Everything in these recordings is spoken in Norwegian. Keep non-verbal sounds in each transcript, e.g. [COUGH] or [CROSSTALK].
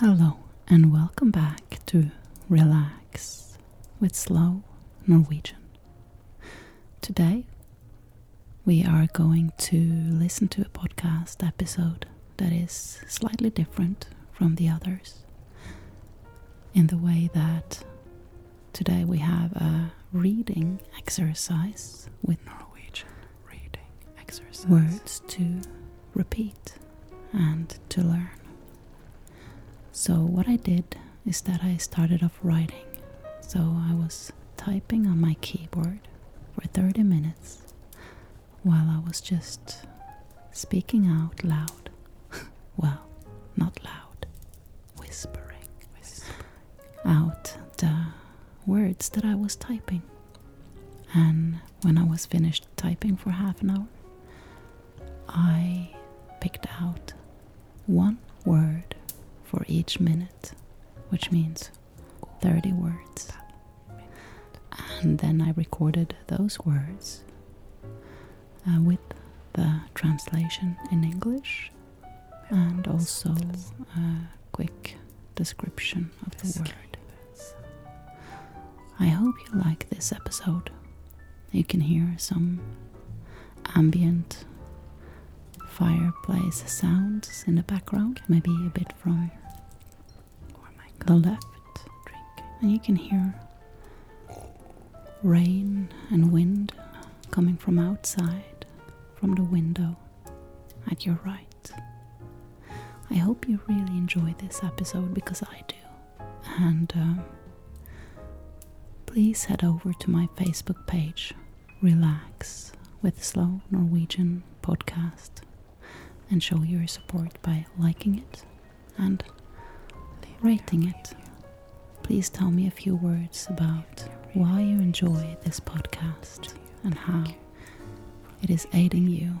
Hello, and welcome back to Relax with Slow Norwegian. Today, we are going to listen to a podcast episode that is slightly different from the others in the way that today we have a reading exercise with Norwegian words to repeat and to learn. So, what I did is that I started off writing. So, I was typing on my keyboard for 30 minutes while I was just speaking out loud. [LAUGHS] well, not loud, whispering out the words that I was typing. And when I was finished typing for half an hour, I picked out one word for each minute, which means 30 words. And then I recorded those words uh, with the translation in English and also a quick description of the word. I hope you like this episode. You can hear some ambient fireplace sounds in the background, maybe a bit from oh the left. And you can hear rain and wind coming from outside, from the window at your right. I hope you really enjoy this episode because I do. And um, please head over to my Facebook page, Relax with Slow Norwegian Podcast, and show your support by liking it and rating it. Please tell me a few words about why you enjoy this podcast and how it is aiding you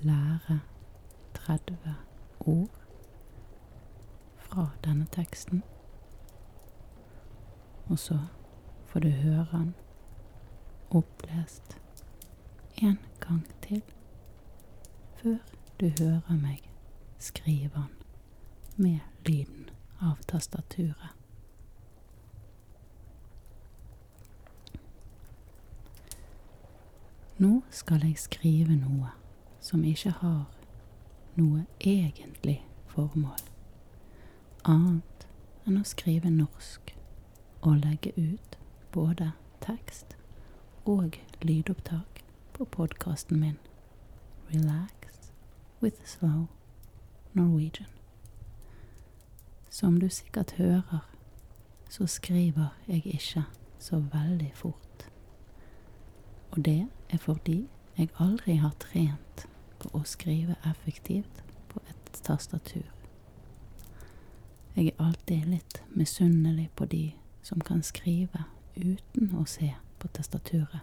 lære 30 ord fra denne teksten. Og så får du høre den opplest en gang til før du hører meg skrive den med lyden av tastaturet. Nå skal jeg skrive noe som ikke har noe egentlig formål, annet enn å skrive norsk og legge ut både tekst og lydopptak på podkasten min Relax with slow Norwegian. Som du sikkert hører, så skriver jeg ikke så veldig fort. Og det er fordi jeg aldri har trent på å skrive effektivt på et tastatur. Jeg er alltid litt misunnelig på de som kan skrive uten å se på tastaturet.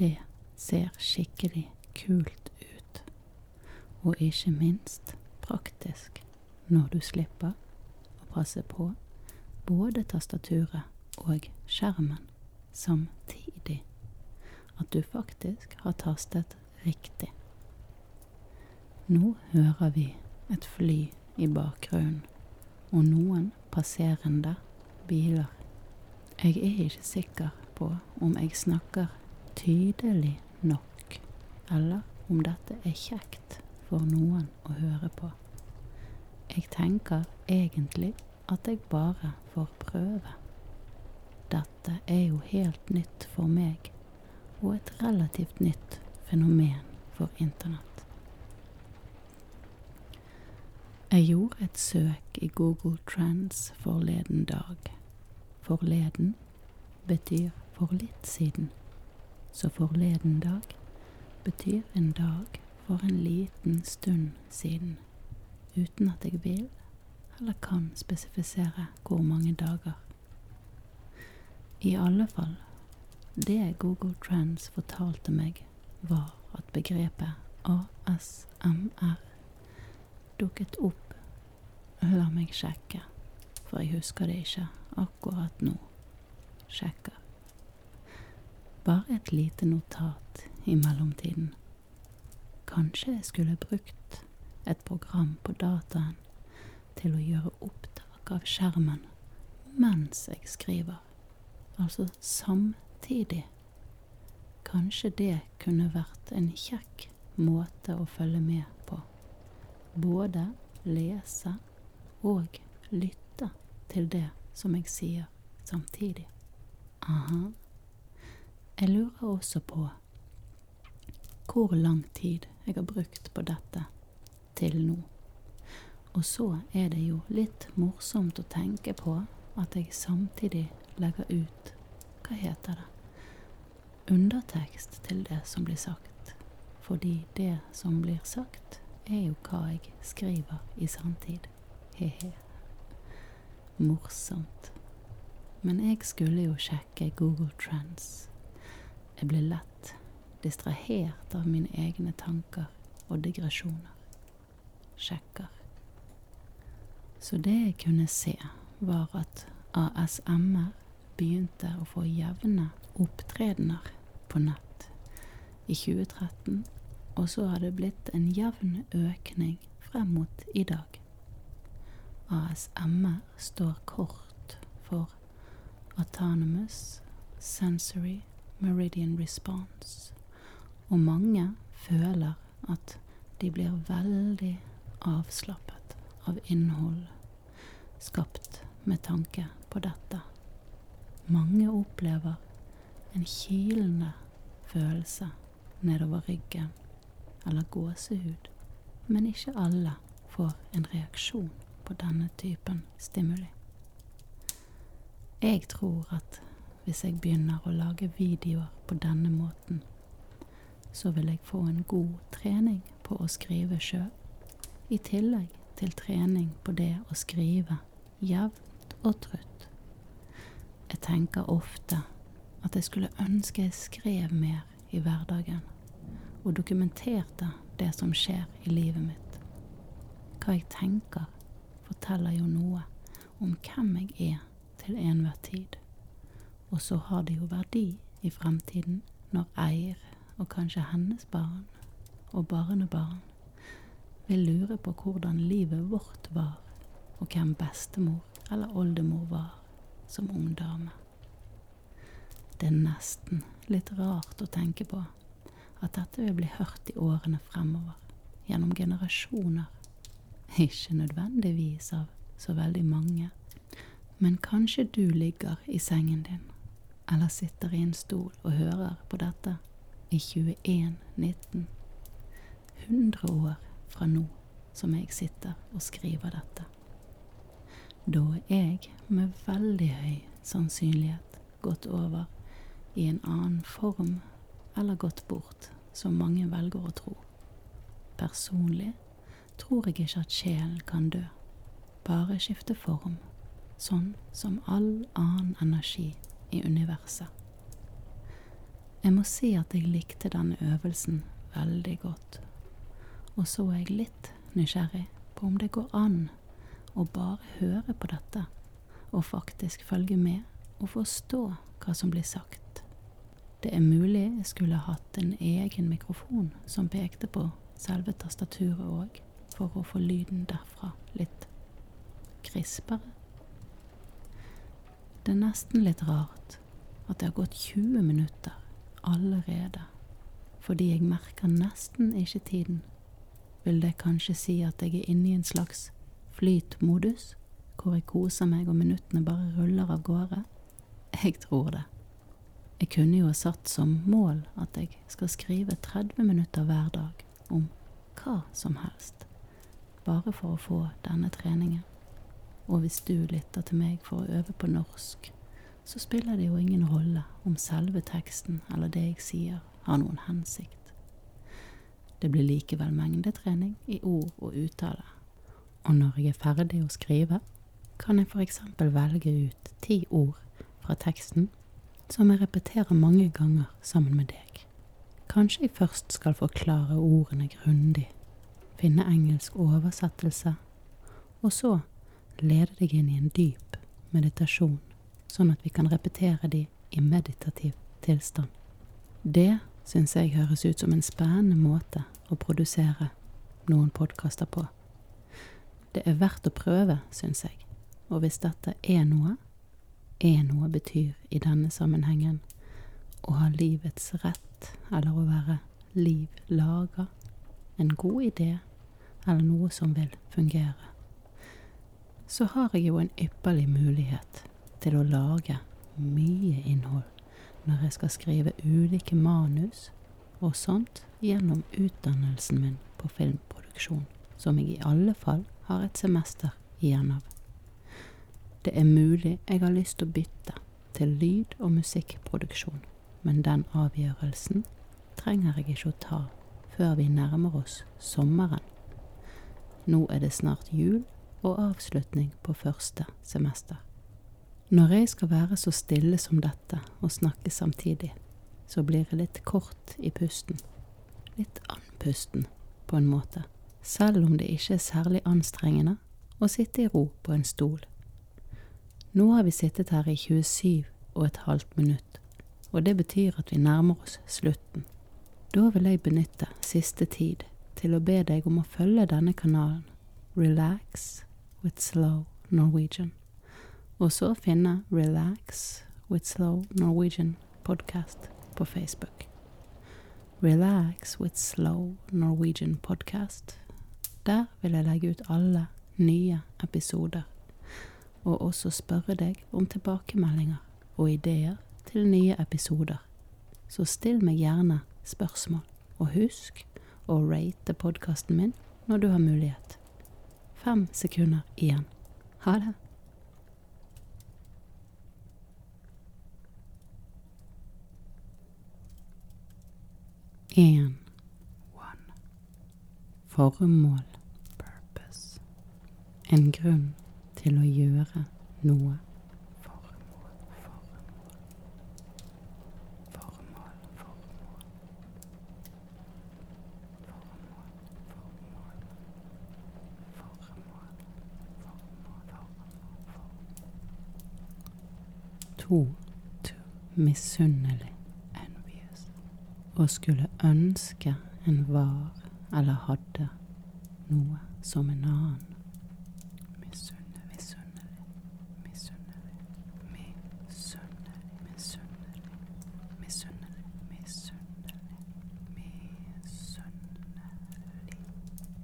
Det ser skikkelig kult ut og ikke minst praktisk når du slipper å passe på både tastaturet og skjermen samtidig. At du faktisk har tastet riktig. Nå hører vi et fly i bakgrunnen og noen passerende biler jeg er ikke sikker på om jeg snakker tydelig nok, eller om dette er kjekt for noen å høre på. Jeg tenker egentlig at jeg bare får prøve. Dette er jo helt nytt for meg, og et relativt nytt fenomen for internett. Jeg gjorde et søk i Google Trends forleden dag Forleden betyr for litt siden, så forleden dag betyr en dag for en liten stund siden, uten at jeg vil eller kan spesifisere hvor mange dager. I alle fall, det Google Trends fortalte meg, var at begrepet ASMR dukket opp. La meg sjekke, for jeg husker det ikke akkurat nå. Sjekker. Bare et lite notat i mellomtiden. Kanskje jeg skulle brukt et program på dataen til å gjøre opptak av skjermen mens jeg skriver. Altså samtidig Kanskje det kunne vært en kjekk måte å følge med på. Både lese og lytte til det som jeg sier samtidig. Aha. Jeg lurer også på hvor lang tid jeg har brukt på dette til nå. Og så er det jo litt morsomt å tenke på at jeg samtidig legger ut Hva heter det? Undertekst til det som blir sagt. Fordi det som blir sagt, er jo hva jeg skriver i sanntid. He-he. Morsomt. Men jeg skulle jo sjekke Google Trends. Jeg ble lett distrahert av mine egne tanker og digresjoner. Sjekker. Så det jeg kunne se, var at ASMR begynte å få jevne opptredener på nett i 2013, og så har det blitt en jevn økning frem mot i dag. ASMR står kort for Autonomous Sensory Meridian Response, og mange føler at de blir veldig avslappet av innhold skapt med tanke på dette. Mange opplever en kilende følelse nedover ryggen eller gåsehud, men ikke alle får en reaksjon på denne typen stimuli. Jeg tror at hvis jeg begynner å lage videoer på denne måten, så vil jeg få en god trening på å skrive sjøl, i tillegg til trening på det å skrive jevnt og trutt. Jeg tenker ofte at jeg skulle ønske jeg skrev mer i hverdagen, og dokumenterte det som skjer i livet mitt. Hva jeg tenker, forteller jo noe om hvem jeg er til enhver tid, og så har det jo verdi i fremtiden når eier, og kanskje hennes barn og barnebarn, vil lure på hvordan livet vårt var, og hvem bestemor eller oldemor var som ung dame. Det er nesten litt rart å tenke på at dette vil bli hørt i årene fremover, gjennom generasjoner ikke nødvendigvis av så veldig mange, men kanskje du ligger i sengen din, eller sitter i en stol og hører på dette i 2119, 100 år fra nå som jeg sitter og skriver dette. Da er jeg med veldig høy sannsynlighet gått over i en annen form eller gått bort som mange velger å tro. Personlig tror jeg ikke at sjelen kan dø, bare skifte form, sånn som all annen energi i universet. Jeg må si at jeg likte denne øvelsen veldig godt, og så er jeg litt nysgjerrig på om det går an å bare høre på dette og faktisk følge med og forstå hva som blir sagt. Det er mulig jeg skulle hatt en egen mikrofon som pekte på selve tastaturet òg, for å få lyden derfra litt krispere. Det er nesten litt rart at det har gått 20 minutter allerede, fordi jeg merker nesten ikke tiden. Vil det kanskje si at jeg er inne i en slags flytmodus? hvor jeg koser meg og minuttene bare ruller av gårde? Jeg tror det. Jeg kunne jo ha satt som mål at jeg skal skrive 30 minutter hver dag om hva som helst, bare for å få denne treningen. Og hvis du lytter til meg for å øve på norsk, så spiller det jo ingen rolle om selve teksten eller det jeg sier, har noen hensikt. Det blir likevel mengdetrening i ord og uttale og når jeg er ferdig å skrive, kan jeg for eksempel velge ut ti ord fra teksten som jeg repeterer mange ganger sammen med deg. Kanskje jeg først skal forklare ordene grundig, finne engelsk oversettelse, og så lede deg inn i en dyp meditasjon, sånn at vi kan repetere de i meditativ tilstand. Det syns jeg høres ut som en spennende måte å produsere noen podkaster på. Det er verdt å prøve, syns jeg. Og hvis dette er noe, er noe betyr i denne sammenhengen å ha livets rett, eller å være liv laga, en god idé, eller noe som vil fungere, så har jeg jo en ypperlig mulighet til å lage mye innhold når jeg skal skrive ulike manus og sånt gjennom utdannelsen min på filmproduksjon, som jeg i alle fall har et semester igjen av. Det er mulig jeg har lyst til å bytte til lyd- og musikkproduksjon, men den avgjørelsen trenger jeg ikke å ta før vi nærmer oss sommeren. Nå er det snart jul og avslutning på første semester. Når jeg skal være så stille som dette og snakke samtidig, så blir jeg litt kort i pusten. Litt andpusten, på en måte, selv om det ikke er særlig anstrengende å sitte i ro på en stol. Nå har vi sittet her i 27 og et halvt minutt, og det betyr at vi nærmer oss slutten. Da vil jeg benytte siste tid tid til å be deg om å følge denne kanalen, Relax with Slow Norwegian, og så finne Relax with Slow Norwegian podcast på Facebook. Relax with Slow Norwegian podcast. Der vil jeg legge ut alle nye episoder, og også spørre deg om tilbakemeldinger og ideer til nye episoder før. Så still meg gjerne spørsmål, og husk å rate podkasten min når du har mulighet. Fem sekunder igjen. Ha det. En. One. Formål. Purpose. En grunn til å gjøre noe. Formål, formål. Formål, formål. Formål, formål. Formål, formål, formål. To. To. Misunnelig. Envious. Å skulle ønske en var eller hadde noe som en annen. Misunner, misunner, misunner, misunner, misunner, misunner, misunner, misunner.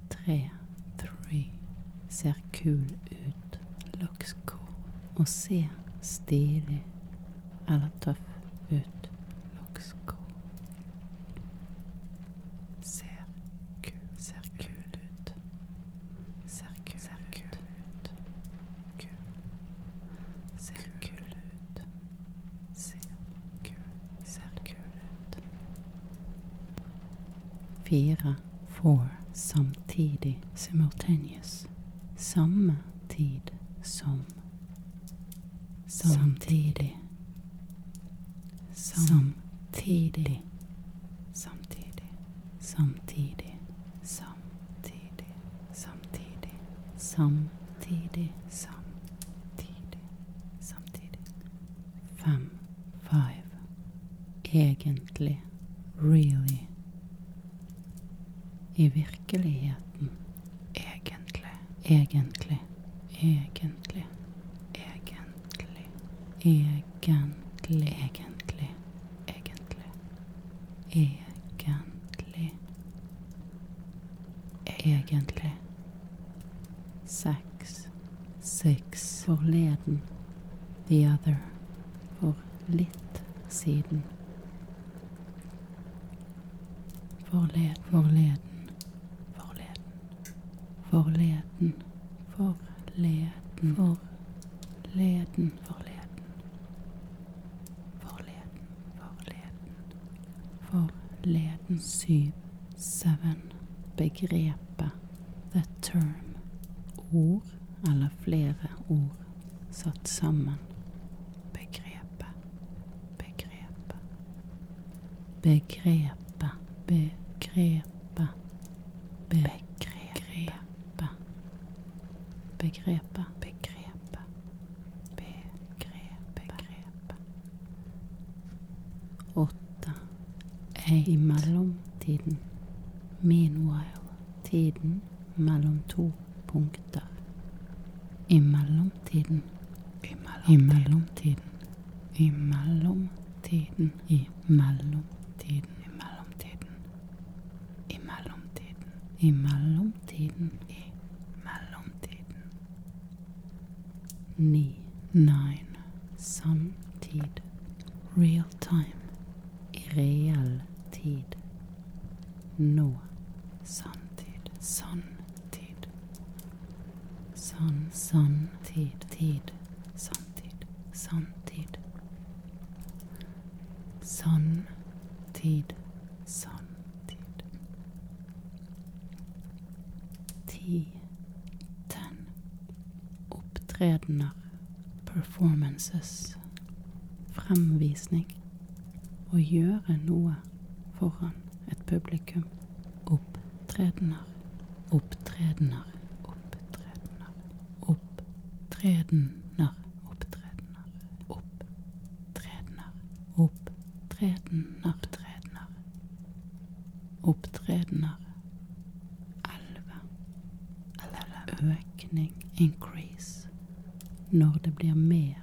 Tre, three, ser kul ut, looks cool, og ser stilig eller tøff ut, looks cool. Ser kul, ser kul ut. Ser kul, ser kul ut. Kul. Ser kul ut. Ser kul, ser kul ut. Fire, four, samtidig, simultaneous. Samme tid som. Samtidig. Samtidig. Samtidig. Samtidig. Samtidig. Samtidig. Samtidig. Samtidig. Samtidig. Fem. Five. Egentlig. Really. I virkeligheten. Egentlig. Egentlig. Egentlig. Egentlig egentlig, egentlig, egentlig, egentlig, egentlig, egentlig. Sex, six, forleden, the other, for litt siden. Forleden, forleden, forleden forleden, forleden, forleden, forleden. Forleden, forleden, forleden. Syv, seven. Begrepet, the term, ord eller flere ord satt sammen. Begrepet, begrepet, begrepet, begrepet. Begrepet. Begrepet. Begrepet. Begrepet. Åtte. I mellomtiden. Meanwhile. Tiden mellom to punkter. I mellomtiden. I mellomtiden. I mellomtiden. I mellomtiden, i mellomtiden, i mellomtiden. I mellomtiden, i mellomtiden, i mellomtiden. Ni, nine, samtid. Real time. I reell tid. Nå. No. Sanntid. Sanntid. Sann, sanntid. Tid. Sanntid, sanntid. Sanntid, sanntid. Ti, ten. Opptredener, performances, fremvisning. Å gjøre noe foran et publikum opptredener, opptredener, opptredener, opptredener, opptredener, opptredener, opptredener, opptredener, opptredener, elleve, elleve, økning, increase, når det blir mer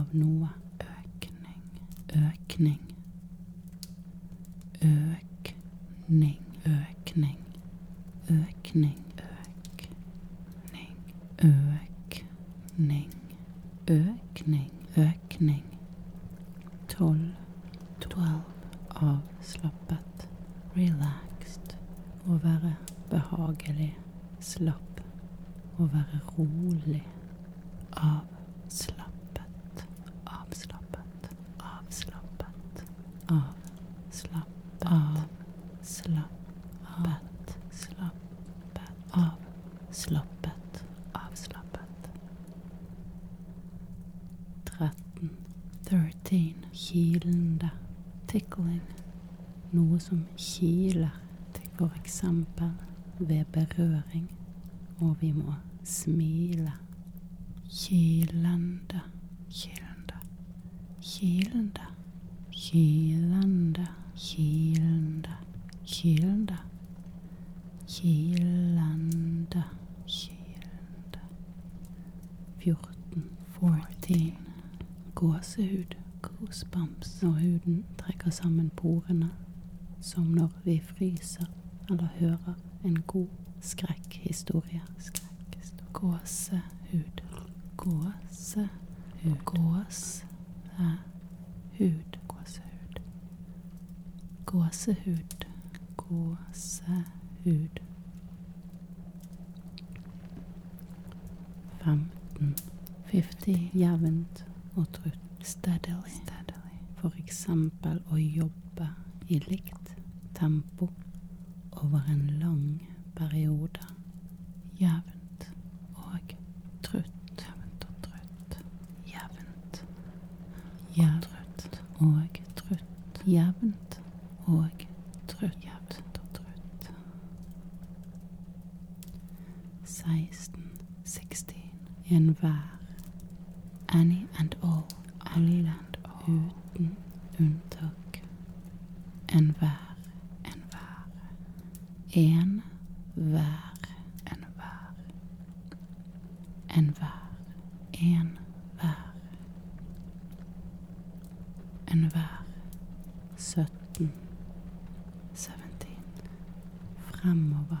av noe, økning, økning Økning, økning, økning, økning, økning, økning, økning. Tolv, tolv, avslappet, relaxed, å være behagelig, slapp, å være rolig, av avslappet, avslappet, avslappet, avslappet, avslappet, slappet, avslappet, avslappet. 13. 13. Kilende. Tickling. Noe som kiler, til for eksempel ved berøring, og vi må smile kilende, kilende, kilende, kilende, kilende, kilende, kilende, kilende. 14, 14. Gåsehud, goosebumps, når huden trekker sammen porene, som når vi fryser leser eller hører en god skrekkhistorie. Skrekkhistorie. Gåsehud. Gåsehud. Gåsehud. Gåsehud. Gåsehud. Gåsehud. 15. 50 jevnt og trutt. Steadily. Steadily. For eksempel å jobbe jobbe i likt tempo over en lang periode. Jevnt og trutt. Jevnt og trutt. Jevnt og trutt. Og trutt. Jevnt og trutt. Jevnt og trutt. 16, 16, enhver. Any and all. Island uten unntak. Enhver, enhver. En hver, enhver. Enhver, en hver. Enhver. 17. 17. Fremover.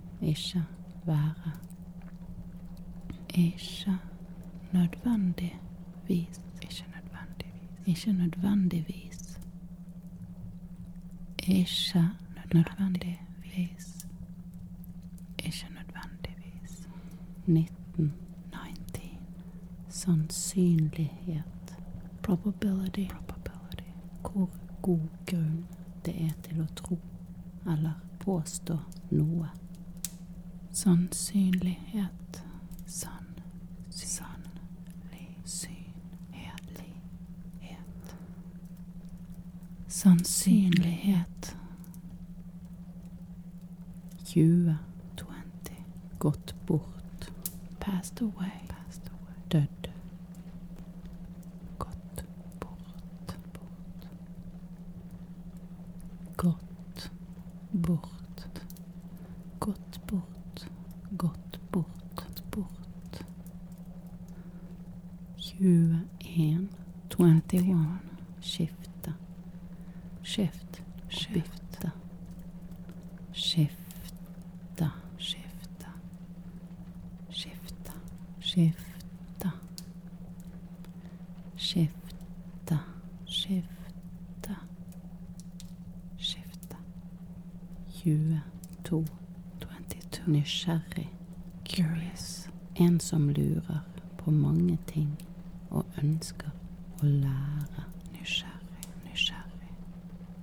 ikke være. Ikke nødvendigvis. Ikke nødvendigvis. Ikke nødvendigvis. Ikke nødvendigvis. Ikke nødvendigvis. 19. 19. Sannsynlighet. Probability. Probability. Hvor god grunn det er til å tro eller påstå noe. Sannsynlighet. Sannsynlighet. Sannsynlighet. 20. 20. Gått bort. Passed away. Passed away. Dødd. Godt bort, bort. Godt bort. Godt bort, godt bort, bort. 21, 21. Skifte. Skift, skifte. Skifte, skifte. Skifte, skifte. Skifte, skifte. Skifte. 22. 22. Nysgjerrig. Curious. En som lurer på mange ting og ønsker å lære. Nysgjerrig, nysgjerrig.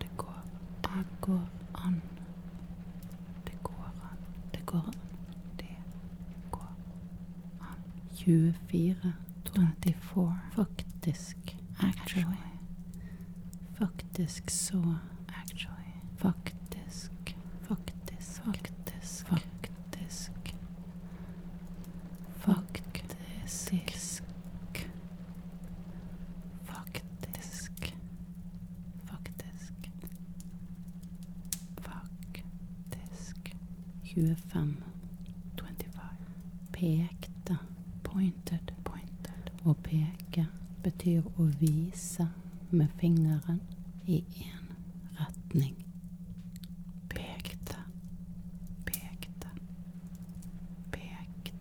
Det går, det går an. Det går an. Det går an. Det går an. 24, 24. Faktisk. Actually. Faktisk så Actually. Faktisk. Faktisk. Faktisk. Faktisk. Faktisk. Faktisk. Faktisk. Faktisk. Faktisk. 25. 25. Pekte. Pointed. Pointed. Å peke betyr å vise med fingeren i én retning. Pekte. Pekte. Pekte,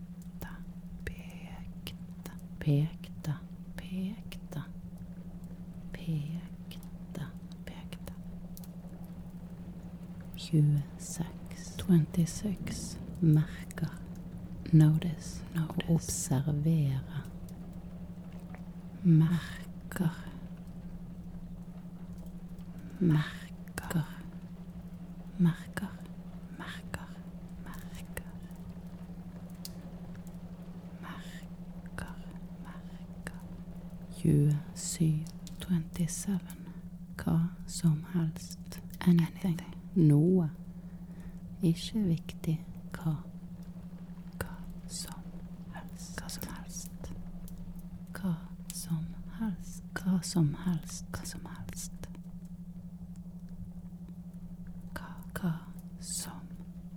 pekte, pekte, pekte. Pekte, pekte. 26, 26. Merker. Notice. Notice. Observere. Merker. Merker merker, merker, merker. Merker, merker. 27, 27. Hva som helst. Anything. Noe. Ikke viktig hva. Hva som helst. Hva som helst. Hva som helst. Hva som helst. Hva som helst. Hva som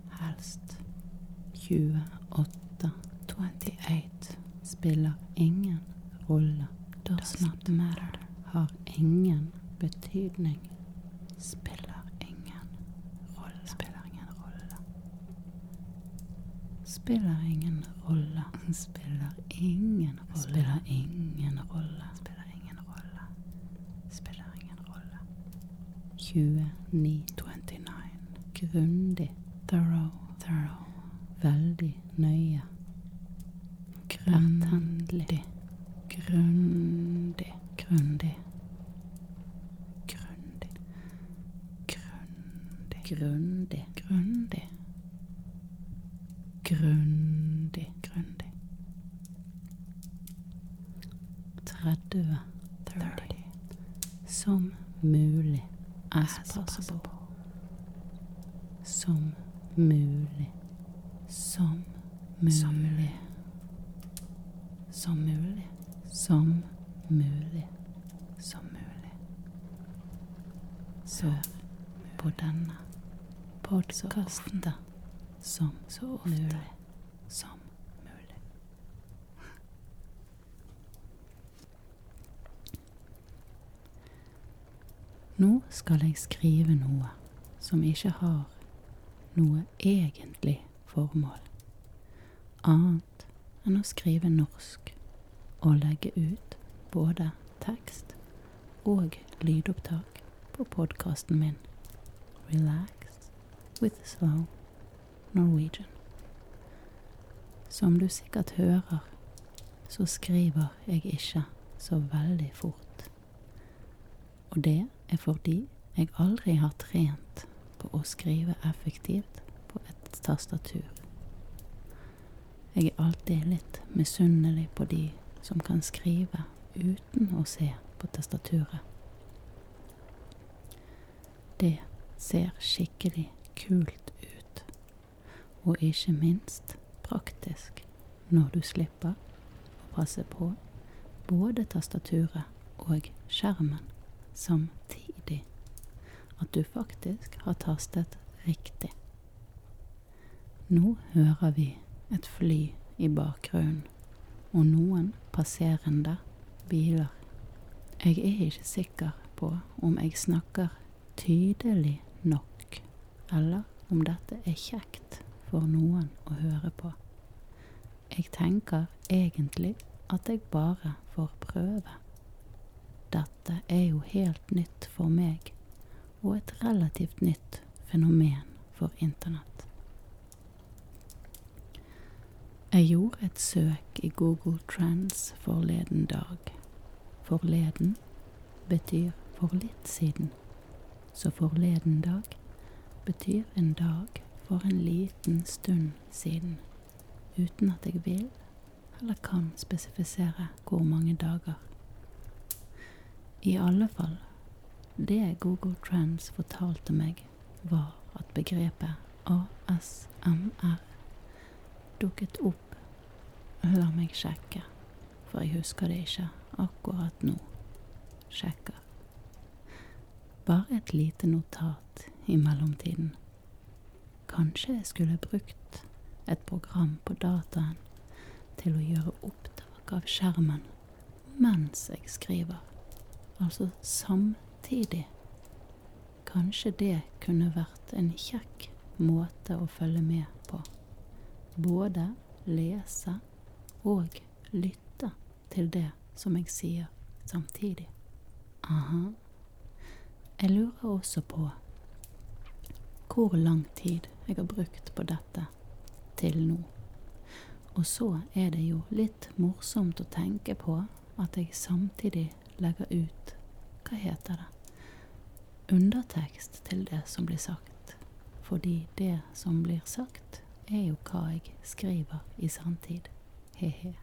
helst. 28, 28 spiller ingen rolle. Does not matter. Har ingen betydning. Spiller ingen rolle. Spiller ingen rolle. Spiller ingen rolle. Spiller ingen ingen mm. rolle. Spiller ingen rolle. Spiller ingen rolle. Spiller ingen rolle. 29. 29. Grundig. Thorough. Thorough. Veldig nøye. Retthendig. Grundig. Grundig. Grundig. Grundig. Grundig. Grundig grundig, grundig. 30, 30. Som mulig as possible. Som mulig. Som mulig. Som mulig. Som mulig. Som mulig. Sør på denne podkasten som så ofte mulig. som mulig. Nå skal jeg skrive noe som ikke har noe egentlig formål, annet enn å skrive norsk å legge ut både tekst og lydopptak på podkasten min Relax with Slow Norwegian. Som du sikkert hører, så skriver jeg ikke så veldig fort. Og det er fordi jeg aldri har trent på å skrive effektivt på et tastatur. Jeg er alltid litt misunnelig på de som kan skrive uten å se på tastaturet. Det ser skikkelig kult ut, og ikke minst praktisk når du slipper å passe på både tastaturet og skjermen samtidig. At du faktisk har tastet riktig. Nå hører vi et fly i bakgrunnen, og noen passerende biler. Jeg er ikke sikker på om jeg snakker tydelig nok, eller om dette er kjekt for noen å høre på. Jeg tenker egentlig at jeg bare får prøve. Dette er jo helt nytt for meg, og et relativt nytt fenomen for internett. Jeg gjorde et søk i Google Trends forleden dag. Forleden betyr for litt siden, så forleden dag betyr en dag for en liten stund siden, uten at jeg vil eller kan spesifisere hvor mange dager. I alle fall, det Google Trends fortalte meg, var at begrepet ASMR dukket opp. La meg sjekke, for jeg husker det ikke akkurat nå. Sjekker. Bare et lite notat i mellomtiden. Kanskje jeg skulle brukt et program på dataen til å gjøre opptak av skjermen mens jeg skriver. Altså samtidig. Kanskje det kunne vært en kjekk måte å følge med på. Både lese og lytte til det som jeg sier samtidig. Aha. Jeg lurer også på hvor lang tid tid jeg har brukt på dette til nå. Og så er det jo litt morsomt å tenke på at jeg samtidig legger ut Hva heter det? Undertekst til det som blir sagt. Fordi det som blir sagt, er jo hva jeg skriver i sanntid. He-he.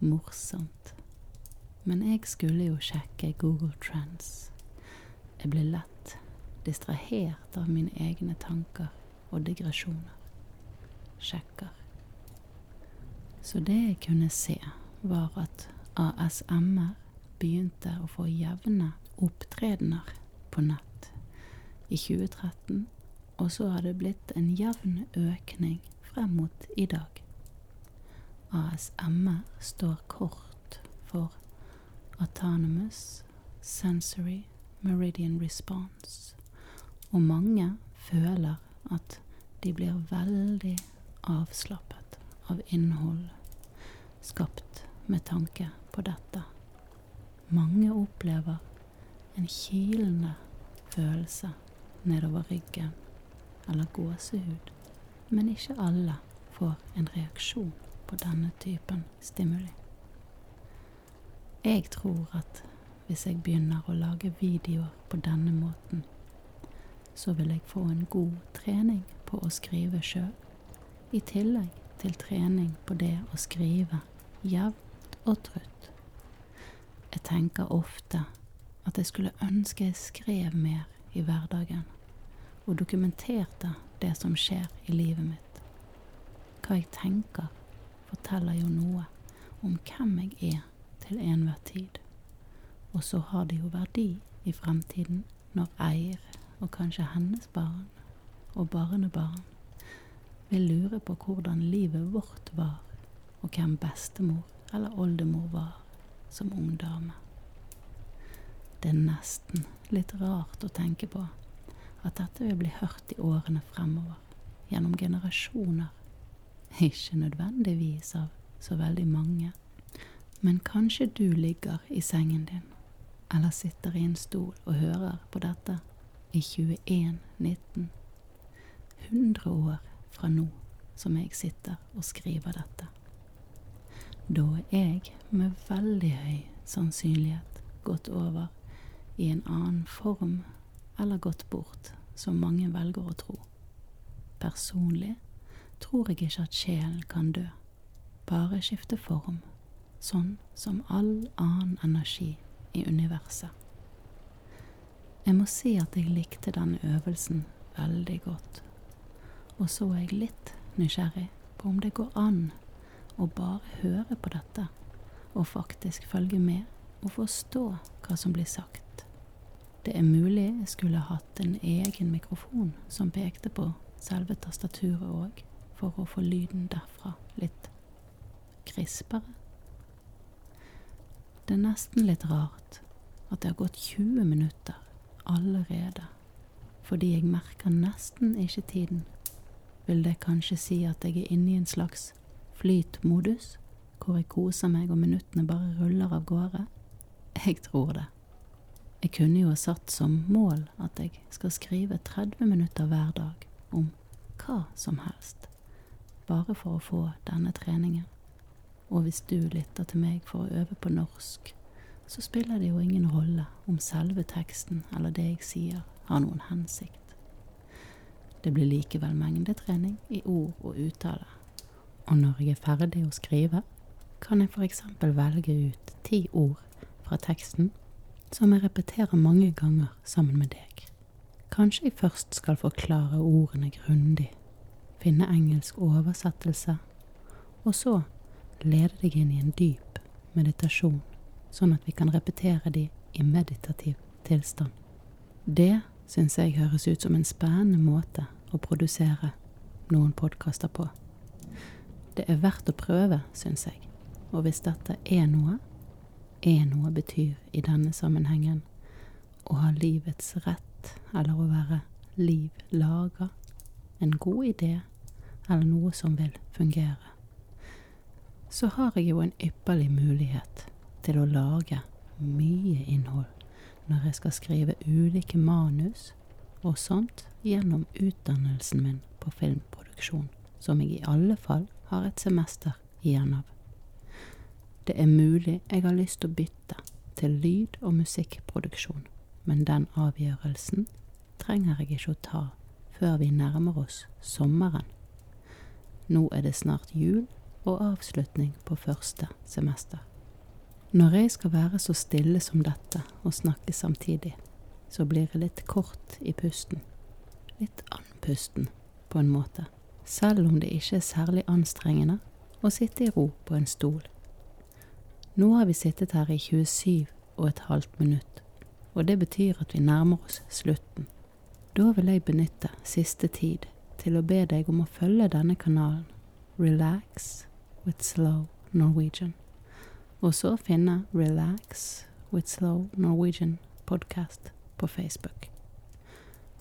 Morsomt. Men jeg skulle jo sjekke Google Trends. Jeg ble lett distrahert av mine egne tanker og digresjoner. Sjekker. Så det jeg kunne se, var at ASMR begynte å få jevne opptredener på nett i 2013, og så har det blitt en jevn økning frem mot i dag. ASMR står kort for Autonomous Sensory Meridian Response, og mange føler at de blir veldig avslappet av innhold skapt med tanke på dette. Mange opplever en kilende følelse nedover ryggen eller gåsehud, men ikke alle får en reaksjon på denne typen stimuli. Jeg tror at hvis jeg begynner å lage videoer på denne måten, så vil jeg få en god trening på å skrive sjøl, i tillegg til trening på det å skrive jevnt og trutt. Jeg tenker ofte at jeg skulle ønske jeg skrev mer i hverdagen, og dokumenterte det som skjer i livet mitt. Hva jeg tenker, forteller jo noe om hvem jeg er til enhver tid. Og så har det jo verdi i fremtiden når eier, og kanskje hennes barn og barnebarn, vil lure på hvordan livet vårt var, og hvem bestemor eller oldemor var som ung dame. Det er nesten litt rart å tenke på at dette vil bli hørt i årene fremover, gjennom generasjoner. Ikke nødvendigvis av så veldig mange, men kanskje du ligger i sengen din, eller sitter i en stol og hører på dette i 2119, 100 år fra nå som jeg sitter og skriver dette. Da er jeg med veldig høy sannsynlighet gått over i en annen form eller gått bort, som mange velger å tro. Personlig tror jeg ikke at sjelen kan dø, bare skifte form, sånn som all annen energi i universet. Jeg må si at jeg likte denne øvelsen veldig godt, og så er jeg litt nysgjerrig på om det går an å bare høre på dette, og faktisk følge med og forstå hva som blir sagt. Det er mulig jeg skulle hatt en egen mikrofon som pekte på selve tastaturet òg, for å få lyden derfra litt krispere. Det er nesten litt rart at det har gått 20 minutter minutter allerede. Fordi jeg merker nesten ikke tiden, vil det kanskje si at jeg er inne i en slags flytmodus, hvor jeg koser meg og minuttene bare ruller av gårde? Jeg tror det. Jeg kunne jo ha satt som mål at jeg skal skrive 30 minutter hver dag om hva som helst, bare for å få denne treningen. Og hvis du lytter til meg for å øve på norsk, så spiller det jo ingen rolle om selve teksten eller det jeg sier, har noen hensikt. Det blir likevel mengdetrening i ord og uttale. Og når jeg er ferdig å skrive, kan jeg f.eks. velge ut ti ord fra teksten som jeg repeterer mange ganger sammen med deg. Kanskje jeg først skal forklare ordene grundig, finne engelsk oversettelse, og så lede deg inn i en dyp meditasjon, sånn at vi kan repetere de i meditativ tilstand. Det syns jeg høres ut som en spennende måte å produsere noen podkaster på. Det er verdt å prøve, syns jeg. Og hvis dette er noe, er noe betyr i denne sammenhengen å ha livets rett, eller å være liv laga en god idé eller noe som vil fungere, så har jeg jo en ypperlig mulighet til å lage mye innhold når jeg skal skrive ulike manus og sånt gjennom utdannelsen min på filmproduksjon, som jeg i alle fall har et semester igjen av. Det er mulig jeg har lyst til å bytte til lyd- og musikkproduksjon, men den avgjørelsen trenger jeg ikke å ta før vi nærmer oss sommeren. Nå er det snart jul og avslutning på første semester. Når jeg skal være så stille som dette og snakke samtidig, så blir jeg litt kort i pusten. Litt andpusten, på en måte. Selv om det ikke er særlig anstrengende å sitte i ro på en stol. Nå har vi sittet her i 27 og et halvt minutt, og det betyr at vi nærmer oss slutten. Da vil jeg benytte siste tid til å be deg om å følge denne kanalen, Relax with Slow Norwegian, og så finne Relax with Slow Norwegian podcast på Facebook.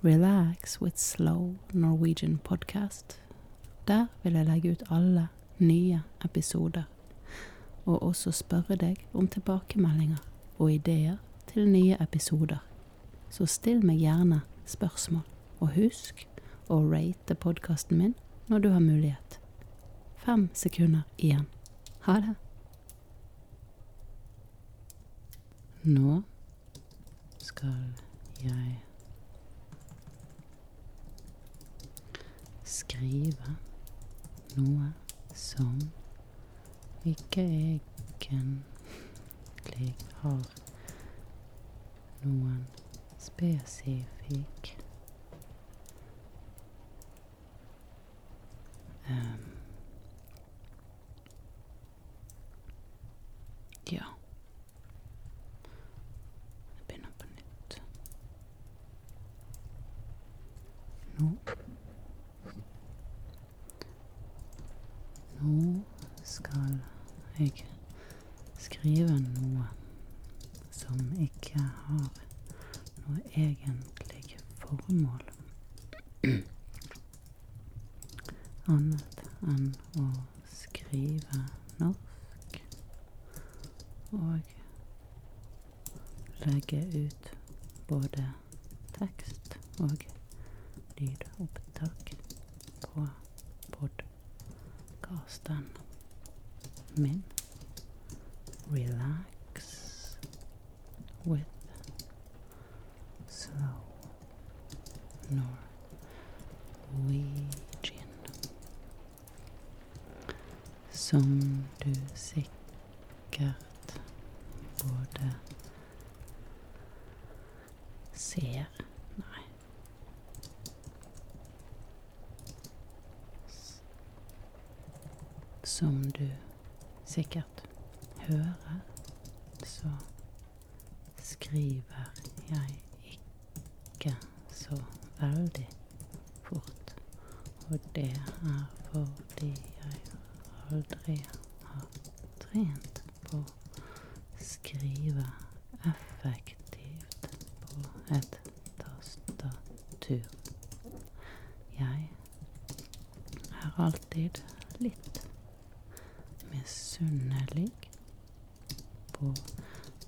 Relax with Slow Norwegian podcast podkast. Der vil jeg legge ut alle nye episoder, og også spørre deg om tilbakemeldinger og ideer til nye episoder. Så still meg gjerne spørsmål, og husk å rate podkasten min når du har mulighet. Fem sekunder igjen. Ha det! Nå skal jeg skrive noe som ikke egentlig har noen spesifikk um, Ja. Jeg begynner på nytt. Nå Nå skal jeg skrive noe som ikke har noe egentlig formål [CLEARS THROAT] annet enn å skrive norsk og legge ut både tekst og lydopptak på podkasten min Relax with slow north. Norwegian. Som du sikkert både ser Nei. Som du sikkert hører, så skriver jeg ikke så veldig fort. Og det er fordi jeg aldri har trent på å skrive effektivt på et tastatur. Jeg er alltid litt misunnelig på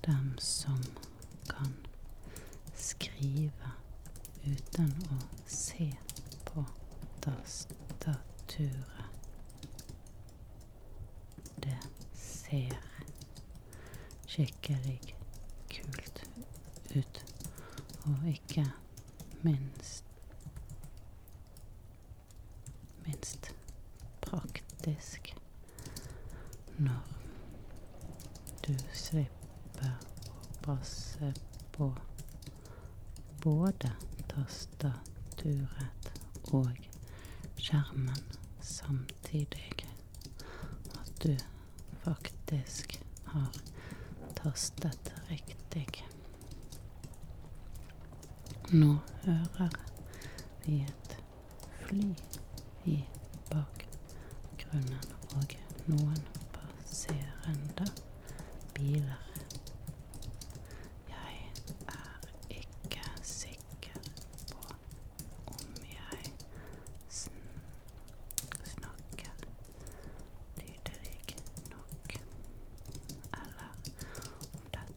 dem som kan skrive uten å se på tastaturet. Det ser skikkelig kult ut, og ikke minst minst praktisk når du slipper å passe på både tastaturet og skjermen samtidig. At du faktisk har tastet riktig. Nå hører vi et fly i bakgrunnen og noen passerende biler. Jeg er ikke sikker på om jeg sn snakker tydelig nok, eller om dette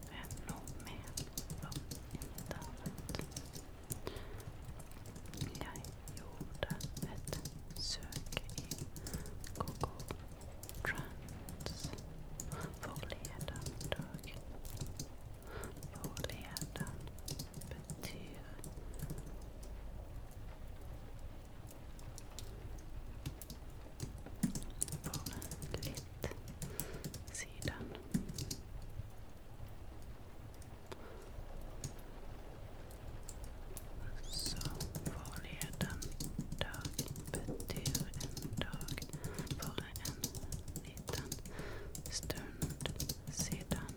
fenomen var intet annet. Jeg gjorde et søk i Google Trends forleden dag. Forleden betyr bare litt siden. Så forleden dag betyr en dag for en liten stund siden.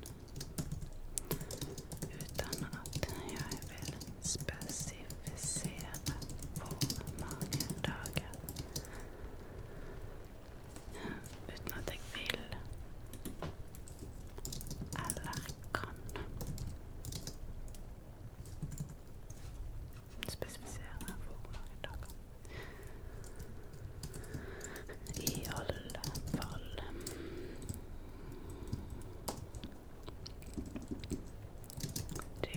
Uten at jeg vil spesifisere hvor mange dager. Uten at jeg vil eller kan spesifisere for hvor mange dager. I alle fall Det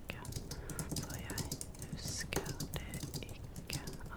tilbake, for jeg husker det ikke akkurat nå.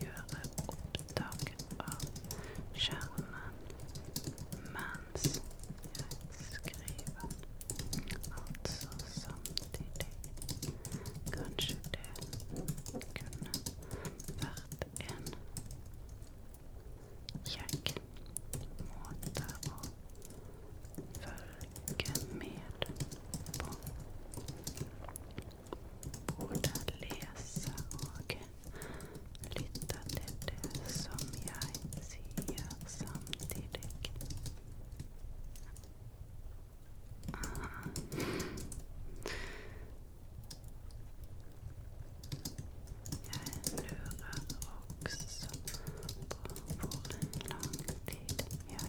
gjøre opptak av skjermen mens jeg skriver. Altså samtidig. Kanskje det kunne vært en kjekk måte å følge med på. Hvor jeg leser og lytter til det som jeg sier, samtidig. Aha. Jeg lurer også på hvor lang tid jeg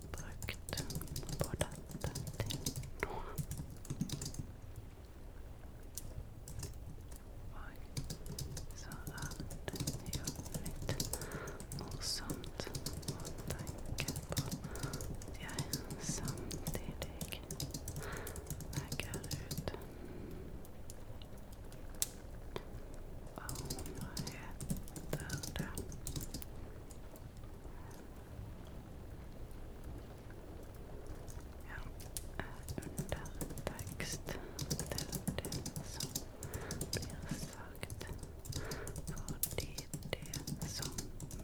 brukt på dette til nå. Og så er det jo litt morsomt å tenke på at jeg samtidig legger ut og hva heter det ja, undertekst til det som blir sagt. Fordi det som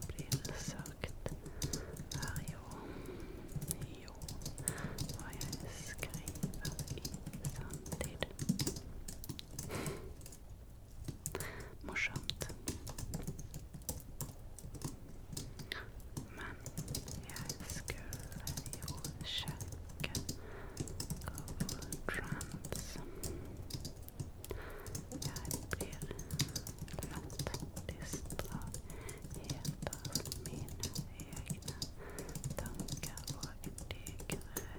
blir sagt, er jo jo hva jeg skriver i sanntid morsomt. Men jeg skulle jo sjekke GoTrans. Jeg blir lett distrahert av mine egne tanker og digresjoner.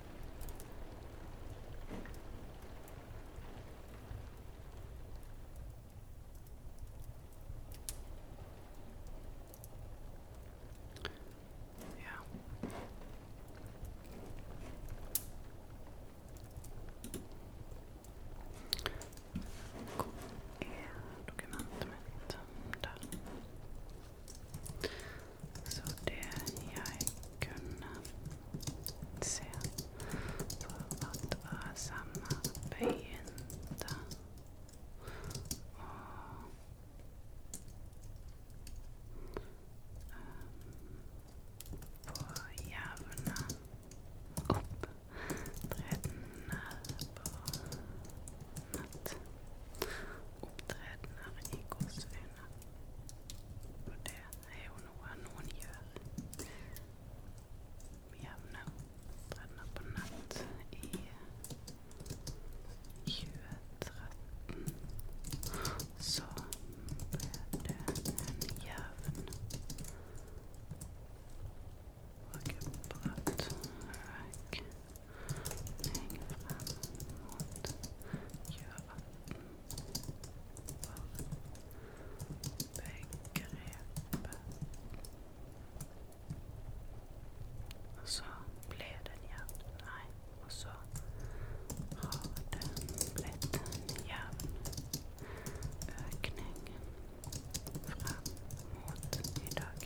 Hvor er dokumentet mitt? Der. Så det jeg kunne se for at ASMR begynte å um, få jevne opp opptredener på nett. Opptredener i gåsehudet. Og det er jo noe noen gjør med jevne opptredener på nett i 2013. Så ble det en jevn og bratt økning frem mot 2018 for begrepet. Og så ble den jevn. Nei, og så har det blitt en jevn økning frem mot i dag.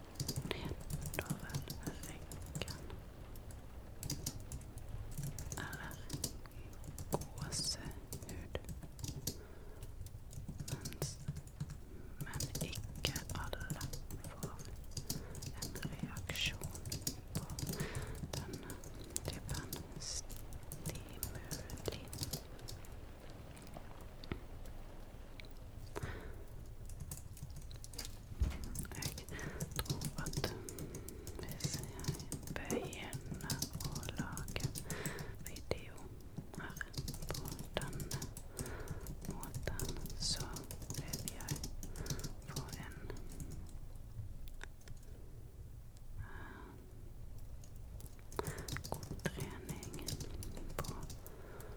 nedover ryggen eller gåsehud. Mens, men ikke alle får en reaksjon på denne typen stimuli. Jeg tror at hvis jeg begynner å lage video her på denne måten, så vil jeg få en God trening på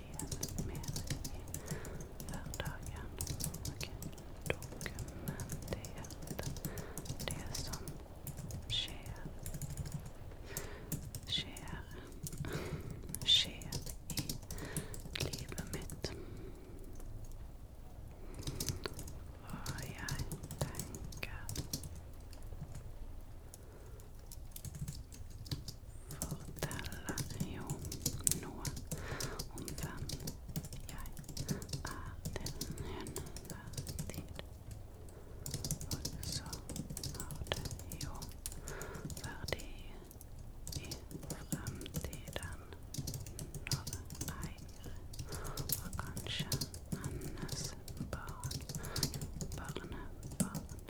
regjeringen i hverdagen. Og dokumenterte det som skjer skjer skjer i livet mitt. Og jeg tenker forteller jo noe om hvem jeg er til enhver tid. Og så har det jo verdi i fremtiden når eier og kanskje hennes barn, barnebarn,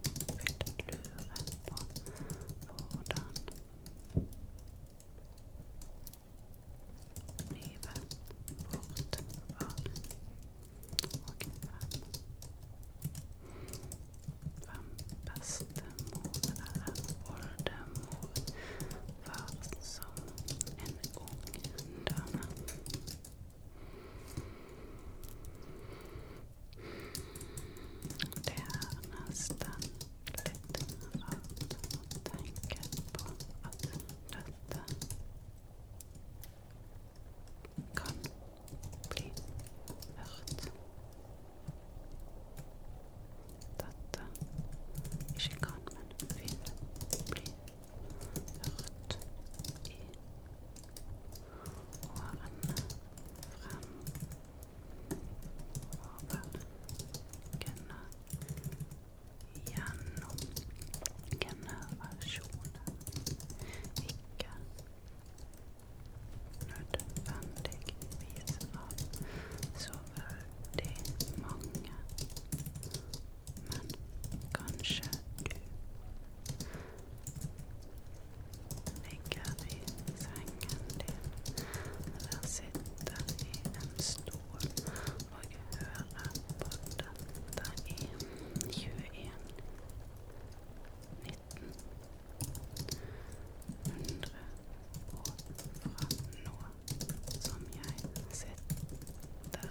vil lure på hvordan Livet bort var og hvem Hvem bestemor eller oldemor var som en ung dame. Det er nesten litt rart å tenke på at dette kan bli hørt. Dette ikke kan, men vil bli hørt i årene fremover kunne gjennom generasjoner ikke nødvendigvis av så veldig mange, men kanskje du They gather his hanganden eller i en stol och höra på detta i 21 19 100 år fra nå som jeg sitter og,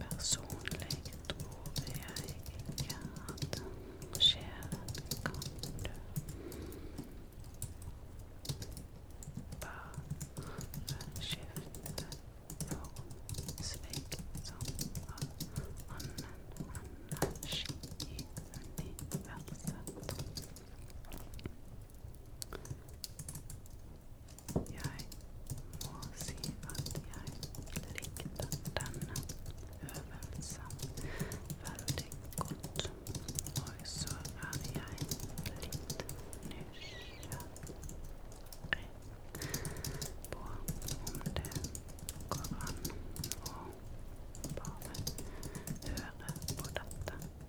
Personlig tror jeg ikke at sjelen kan dø. Bare skifte form, slik som all annen energi i universet. Jeg må si at jeg likte denne øvelsen veldig godt. Og så er jeg litt nysgjerrig på om det går an å bare høre på dette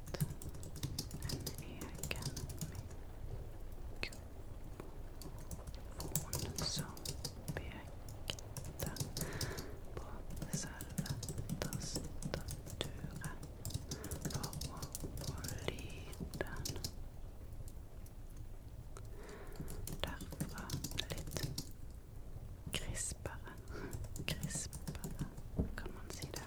en egen mikrofon som pekte på selve tastaturet for å få lyden. Derfra litt krispere. Krispere, kan man si det.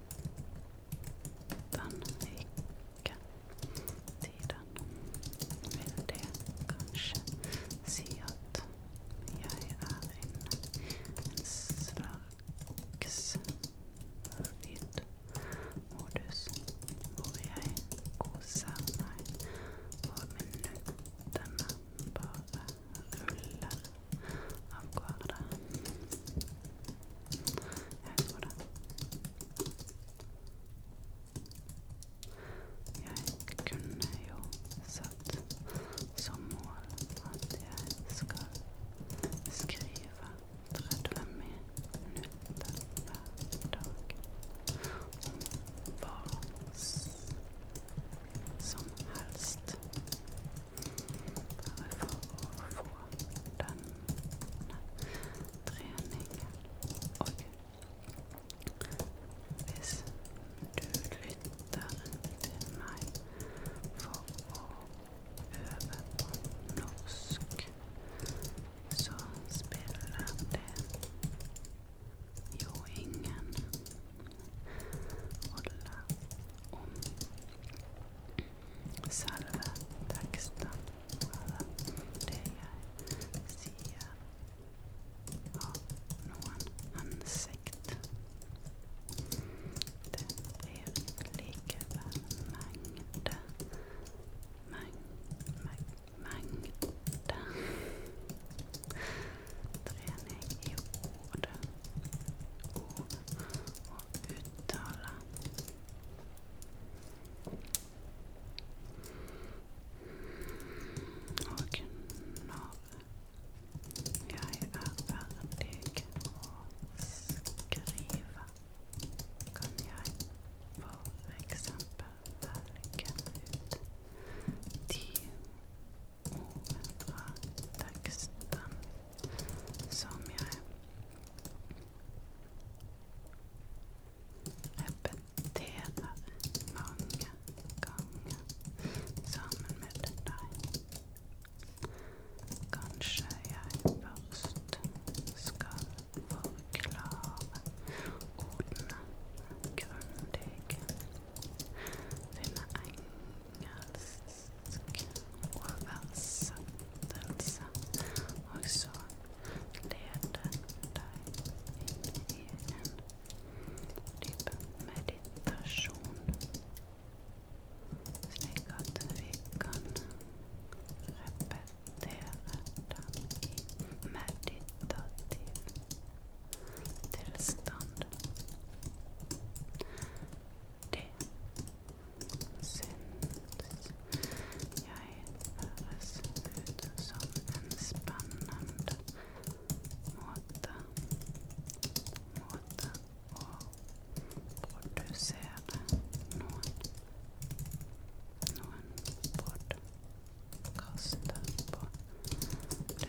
Den ikke tiden vil det kanskje si at jeg er inne en slags flytmodus hvor jeg koser meg og minuttene bare rulle av gårde. Jeg tror det. Jeg kunne jo satt som mål at jeg skal skrive 30 minutter hver dag om hva som helst. Bare for å få denne treningen. Og hvis du lytter til meg for å øve på norsk, så spiller det jo ingen handler om selve teksten eller det jeg sier, har noen hensikt. Det blir likevel mengde meng, meng, mengde trening i ordet og å uttale. Og når jeg er ferdig å skrive, kan jeg for eksempel velge ut ti fra teksten som jeg repeterer mange ganger sammen med deg. Kanskje jeg først skal forklare ordene grundig. Finne engelsk gresk oversettelse, og så lede deg inn i en dyp meditasjon, slik at vi kan repetere den i meditativ tilstand. syns jag höres ut som en spännande måte, måte att producera någon, någon podcast på. Det är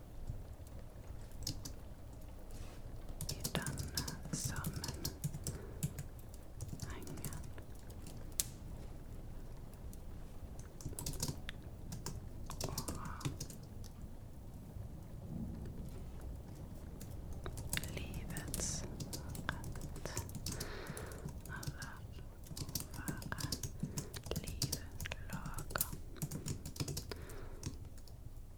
I denne sammenhengen og livets rett eller være livet lager.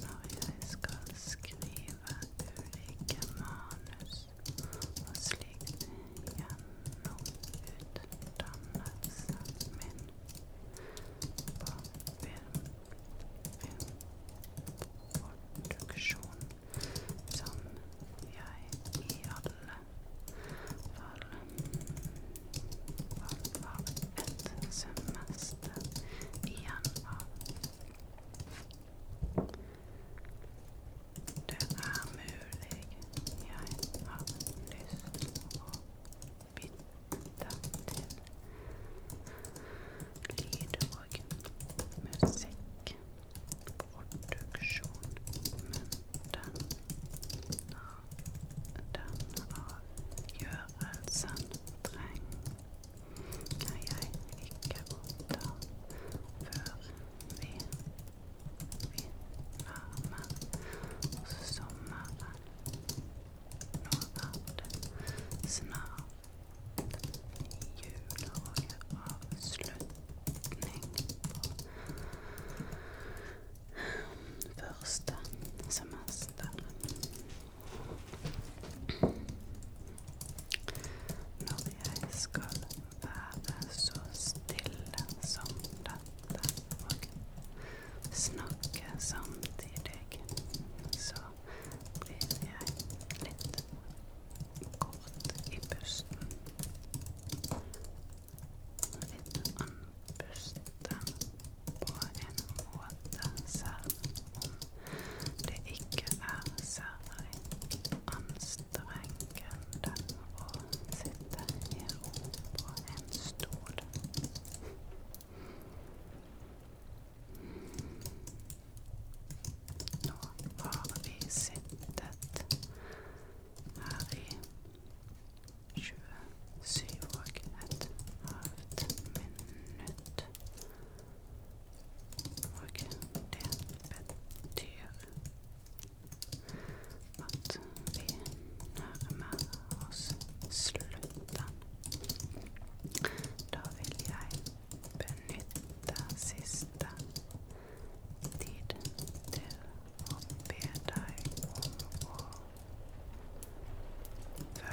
når jeg skal skrive ulike manus og slikt gjennom utdannelsen min på film, filmproduksjon, som jeg i alle fall, fall var et semester igjen av. Det er mulig jeg har lyst å bytte til lyd og musikkproduksjon, men den den avgjørelsen trenger jeg ikke godta før vi vinner med sommeren. Nå er det snart jul og avslutning på første semester. Når jeg skal være så stille som dette og snakke samtidig, så blir jeg litt kort i pusten. Litt andpusten. på en det ikke er særlig anstrengende å sitte i ro på en stol. Nå vi sittet her i 27 og halvt minutt Og det betyr at vi nærmer oss slutten. Da vil jeg benytte siste tid til å be deg om å følge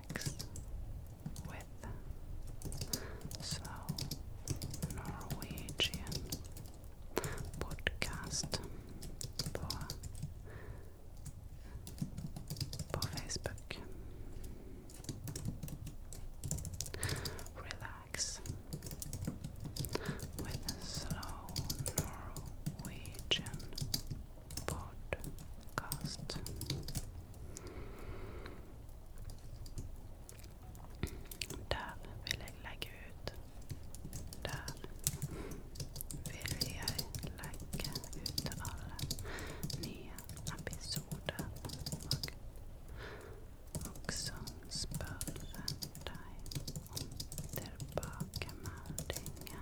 with slow Norwegian podcast på, på Facebook. Relax with slow Norwegian podkast. Der vil jeg legge ut. Der vil jeg legge ut alle nye episoder og også spørre deg om tilbakemeldinger.